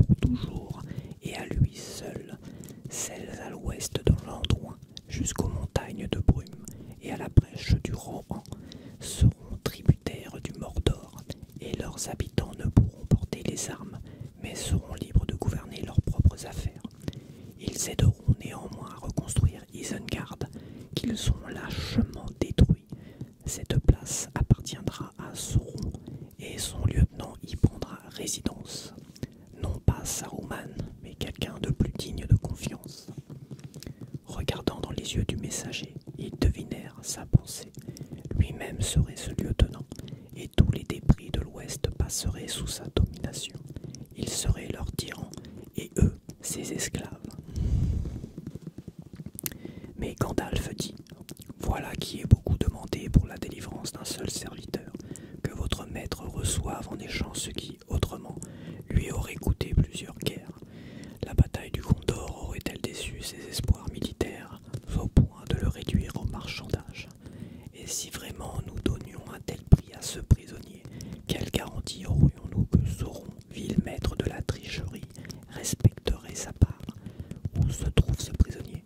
pour toujours et à lui seul, celles à l'ouest de l'endroit jusqu'aux montagnes de brume et à la brèche du Rohan, seront tributaires du Mordor, et leurs habitants ne pourront porter les armes, mais seront libres de gouverner leurs propres affaires. Ils aideront néanmoins à reconstruire Isengard, qu'ils ont lâchement détruit. Cette place appartiendra à Sauron et son lieutenant y prendra résidence. Non pas Saruman, mais quelqu'un de plus digne de confiance. Regardant dans les yeux du messager, ils devinèrent sa pensée. Lui-même serait ce lieutenant, et tous les débris de l'Ouest passeraient sous sa domination. Il serait leur tyran, et eux ses esclaves. Mais Gandalf dit voilà qui est beaucoup demandé pour la délivrance d'un seul serviteur, que votre maître reçoive en échange ce qui, autrement, lui aurait coûté plusieurs guerres. La bataille du Condor aurait-elle déçu ses espoirs militaires au point de le réduire au marchandage Et si vraiment nous donnions un tel prix à ce prisonnier, quelle garantie aurions-nous que Sauron, ville maître de la tricherie, respecterait sa part. Où se trouve ce prisonnier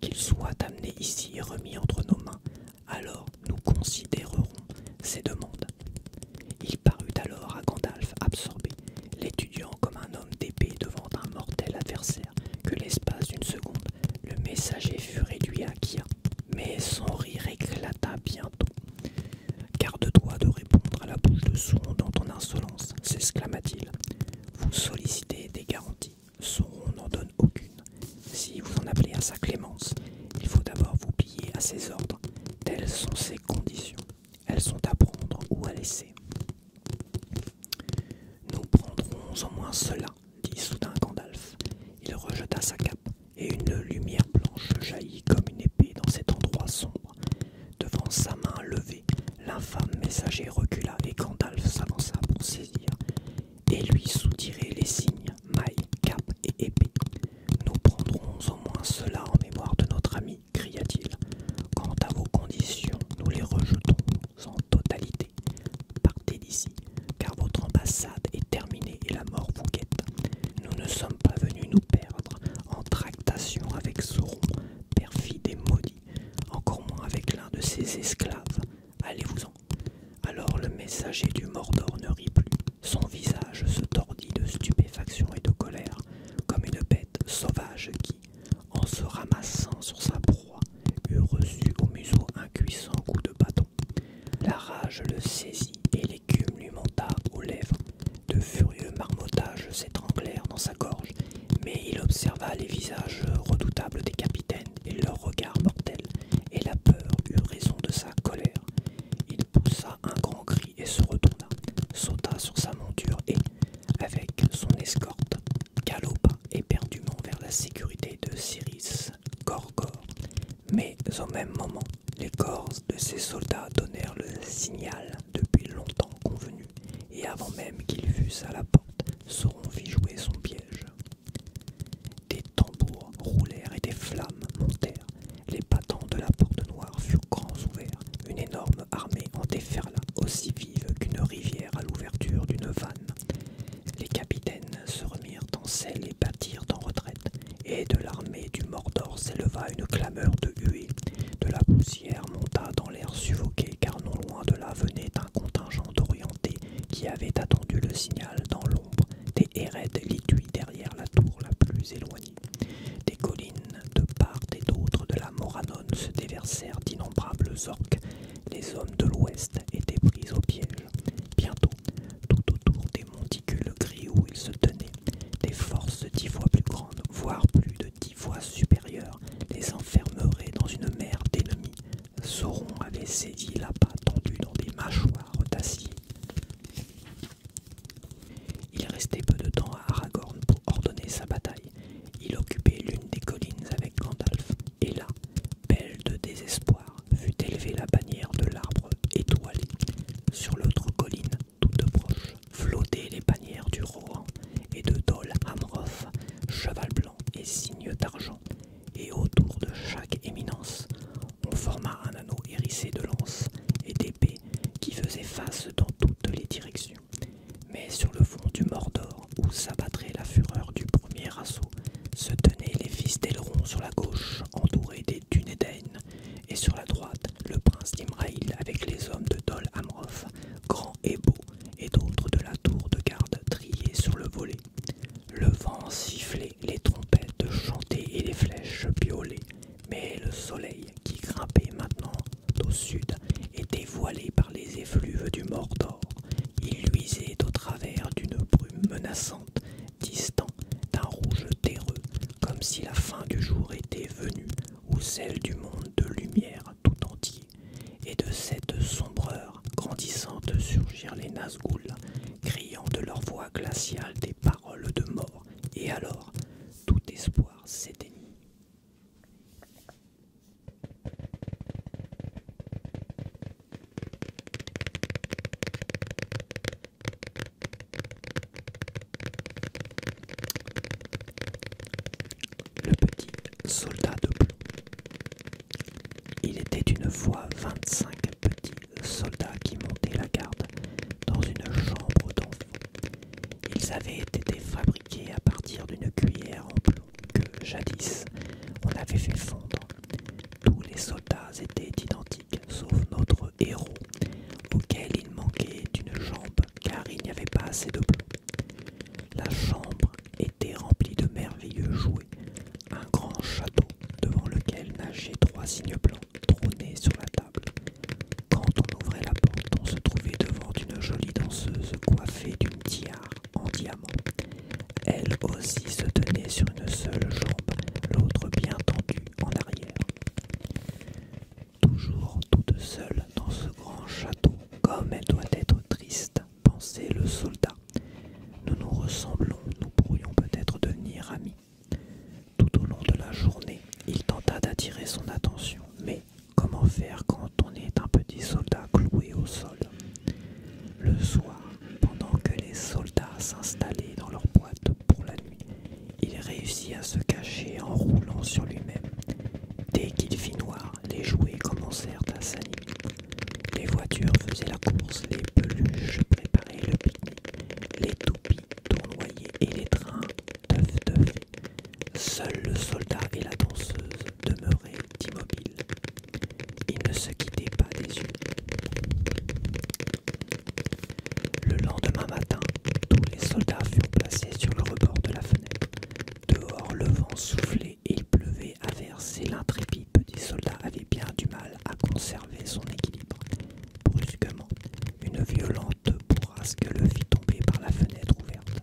Qu'il soit amené ici et remis entre nos mains, alors nous considérerons ses demandes. Il parut alors à Gandalf absorbé, l'étudiant comme un homme d'épée devant un mortel adversaire, que l'espace d'une seconde, le messager fut réduit à Kia. Mais son rire éclata bientôt. Garde-toi de répondre à la bouche de son dans ton insolence, s'exclama-t-il. Vous sollicitez des garanties. Sauron n'en donne aucune. Si vous en appelez à sa clémence, il faut d'abord vous plier à ses ordres. Telles sont ses conditions. Elles sont à prendre ou à laisser. Nous prendrons au moins cela, dit soudain Gandalf. Il rejeta sa cape, et une lumière blanche jaillit comme une épée dans cet endroit sombre. Devant sa main levée, l'infâme messager recula et Gandalf s'avança pour saisir et lui soutirer les signes, mailles, capes et épées. Nous prendrons au moins cela en mémoire de notre ami, cria-t-il. Quant à vos conditions, nous les rejetons en totalité. Partez d'ici, car votre ambassade est terminée et la mort vous guette. Nous ne sommes pas venus nous perdre en tractation avec Sauron, perfide et maudit encore moins avec l'un de ses esclaves. Allez-vous-en. Alors le messager du Mordor ne rit plus. Son visage se tordit de stupéfaction et de colère, comme une bête sauvage qui, en se ramassant sur sa proie, eût reçu au museau un cuissant coup de bâton. La rage le saisit et l'écume lui monta aux lèvres. De furieux marmottages s'étranglèrent dans sa gorge mais il observa les visages redoutables des capitaines et leurs regards mortels, et la peur eut raison de sa colère. Il poussa un grand cri et se retourna, sauta sur sa monture et, avec son escorte, galopa éperdument vers la sécurité de Cyrus Gorgor. Mais au même moment, les corps de ses soldats donnèrent le signal depuis longtemps convenu, et avant même qu'ils fussent à la porte, Sauron fit jouer son piège. Des tambours roulèrent et des flammes montèrent. Les battants de la porte noire furent grands ouverts. Une énorme armée en déferla, aussi vive qu'une rivière à l'ouverture d'une vanne. Les capitaines se remirent en selle et battirent en retraite, et de l'armée du Mordor s'éleva une clameur de huée. De la poussière monta dans l'air suffoqué, car non loin de là venait contingent d'Orientés qui avait attendu le signal dans l'ombre des héraides lituis derrière la tour la plus éloignée. Des collines de part et d'autre de la Moranone se déversèrent d'innombrables orques. Les hommes de l'Ouest étaient pris au piège. Bientôt, tout autour des monticules gris où ils se tenaient, des forces dix fois plus grandes, voire plus de dix fois supérieures, les enfermerait dans une mer d'ennemis. Sauron avait saisi là-bas tendue dans des mâchoires d'acier. Il restait peu de temps à Aragorn pour ordonner sa bataille. Il occupait l'une des collines avec Gandalf, et là, belle de désespoir, fut élevée la bannière de l'arbre étoilé. Sur l'autre colline, toute proche, flottaient les bannières du Rohan et de Dol Amroth, cheval et signes d'argent, et autour de chaque éminence, on forma un anneau hérissé de lances et d'épées qui faisaient face dans toutes les directions. Mais sur le fond du Mordor, où s'abattrait la fureur du premier assaut, se tenaient les fils d'Aileron sur la gauche, entourés des Dunedain, et sur la droite, le prince d'Imraïl avec les hommes de Dol Amroth, grand et beau et d'autres de la tour de garde triée sur le volet. Le vent sifflait, les trompettes chantaient et les flèches piolaient, mais le soleil, qui grimpait maintenant au sud, était voilé par les effluves du Mordor. Il luisait au travers d'une brume menaçante, distant d'un rouge terreux, comme si la fin du jour était venue ou celle du monde de lumière tout entier et de cette sombreur grandissante surgirent les Nazgûl, criant de leur voix glaciale des paroles de mort, et alors tout espoir s'éteignit. Le petit Soldats de plomb. Il était une fois 25 petits soldats qui montaient la garde dans une chambre d'enfant. Ils avaient été fabriqués à partir d'une cuillère en plomb que, jadis, on avait fait fondre. Tous les soldats étaient identiques, sauf notre héros, auquel il manquait une jambe car il n'y avait pas assez de plomb. La chambre était rempli de merveilleux jouets, un grand château devant lequel nageaient trois cygnes blancs trônés sur la table. Quand on ouvrait la porte, on se trouvait devant une jolie danseuse coiffée d'une tiare en diamant. Elle aussi se tenait sur une seule jambe, l'autre bien tendue en arrière. Toujours toute seule dans ce grand château, comme elle doit être triste, pensait le soldat. Nous nous ressemblons, nous pourrions peut-être devenir amis. Tout au long de la journée, il tenta d'attirer son attention, mais comment faire quand on est un petit soldat cloué au sol Le soir, pendant que les soldats s'installaient dans leur boîte pour la nuit, il réussit à se cacher en roulant sur lui-même. Dès qu'il fit noir, les jouets commencèrent à s'animer. Les voitures faisaient la course, les peluches préparaient le pique-nique, les toupies tournoyaient et les trains teuf teuf. Seuls le soldat et la danseuse demeuraient immobiles. Ils ne se quittaient pas des yeux. Le lendemain matin, tous les soldats furent placés sur le rebord de la fenêtre. Dehors, le vent soufflait il pleuvait à et L'intrépide petit soldat avait bien du mal à conserver son équilibre. Brusquement, une violente bourrasque le fit tomber par la fenêtre ouverte.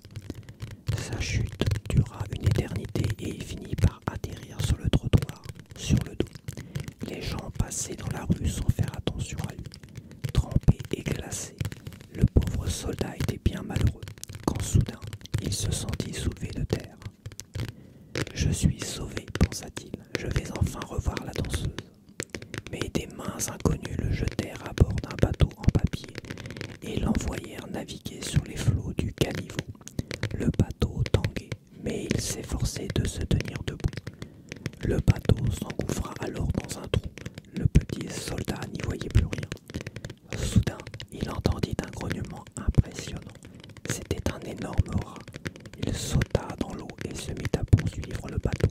Sa chute dura une éternité et il finit par atterrir sur le trottoir, sur le dos. Les gens passaient dans la rue sans faire attention à lui. Trempé et glacés. Le pauvre soldat était bien malheureux quand soudain il se sentit soulevé de terre. Je suis sauvé, pensa-t-il, je vais enfin revoir la danseuse. Mais des mains inconnues le jetèrent à bord d'un bateau en papier et l'envoyèrent naviguer sur les flots du caniveau. Le bateau tanguait, mais il s'efforçait de se tenir debout. Le bateau s'engouffra alors dans un trou. Le petit soldat n'y voyait plus rien. Soudain, il entendit un grognement impressionnant. C'était un énorme rat. Il sauta dans l'eau et se mit à poursuivre le bateau.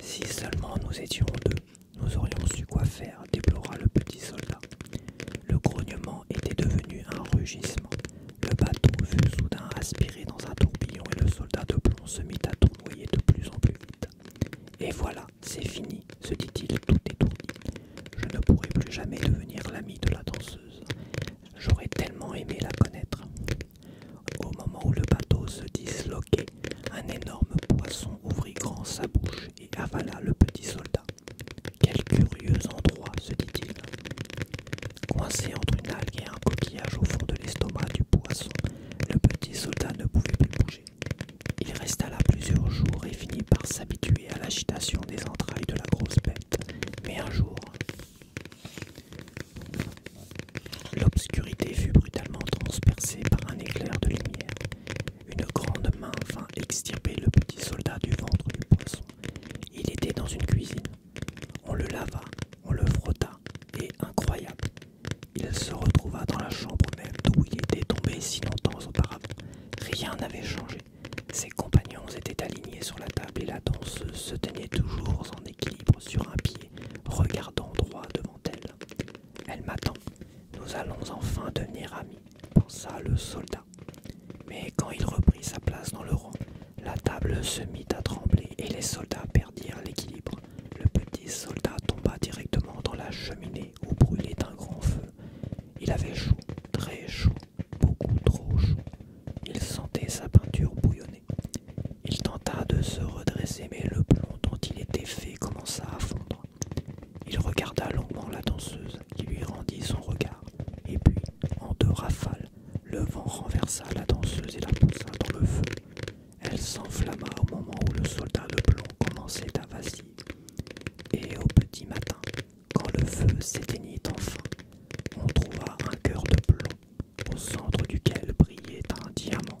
Si seulement nous étions deux, nous aurions su quoi faire, déplora le petit soldat. Le grognement était devenu un rugissement. Le bateau fut soudain aspiré dans un tourbillon et le soldat de plomb se mit à tournoyer de plus en plus vite. Et voilà, c'est fini, se dit-il tout est étourdi. Je ne pourrai plus jamais devenir l'ami de la danseuse. J'aurais tellement aimé la connaître. Au moment où le bateau se disloquait, un énorme poisson ouvrit grand sa bouche et avala le petit soldat. Quel curieux endroit, se dit-il. Coincé entre une algue et un coquillage au fond de l'estomac du poisson, le petit soldat ne pouvait plus bouger. Il resta là plusieurs jours et finit par s'habituer à l'agitation des entrailles de la grosse bête. Mais un jour, l'obscurité fut brutalement transpercée par un éclair de lumière. Une grande main vint extirper le petit soldat du ventre du poisson. Il était dans une cuisine. On le lava, on le frotta, et incroyable, il se retrouva dans la chambre même d'où il était tombé si longtemps auparavant. Rien n'avait changé. Ses compagnons étaient alignés sur la table et la danseuse se tenait toujours en équilibre sur un pied, regardant droit devant elle. Elle m'attend. Nous allons enfin devenir amis, pensa le soldat. Mais quand il reprit sa place dans le rang, la table se mit à trembler et les soldats perdirent l'équilibre. Le petit soldat tomba directement dans la cheminée brûlé d'un grand feu. Il avait chaud, très chaud, beaucoup trop chaud. Il sentait sa peinture bouillonner. Il tenta de se redresser, mais le plomb dont il était fait commença à fondre. Il regarda longuement la danseuse qui lui rendit son regard, et puis, en deux rafales, le vent renversa la danseuse et la poussa dans le feu. Elle s'enflamma au moment où le soldat de plomb commençait à vaciller. Et au petit matin, quand le feu s'éteignit enfin, on trouva un cœur de plomb, au centre duquel brillait un diamant.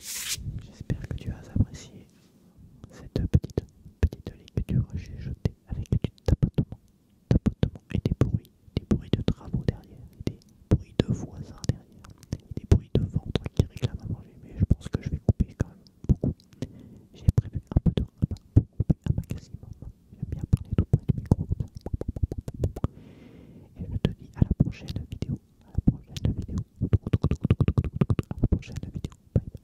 J'espère que tu as apprécié cette petite petite ligne que tu jetée avec du tapotement, et des bruits, des bruits de travaux derrière, des bruits de voisins derrière, des bruits de ventre qui réclament à manger. Mais je pense que je vais couper quand même beaucoup. J'ai prévu un peu de couper un maximum. J'aime bien parler tout près du micro. Et je te dis à la prochaine vidéo. À la prochaine vidéo. À la prochaine vidéo. Bye bye.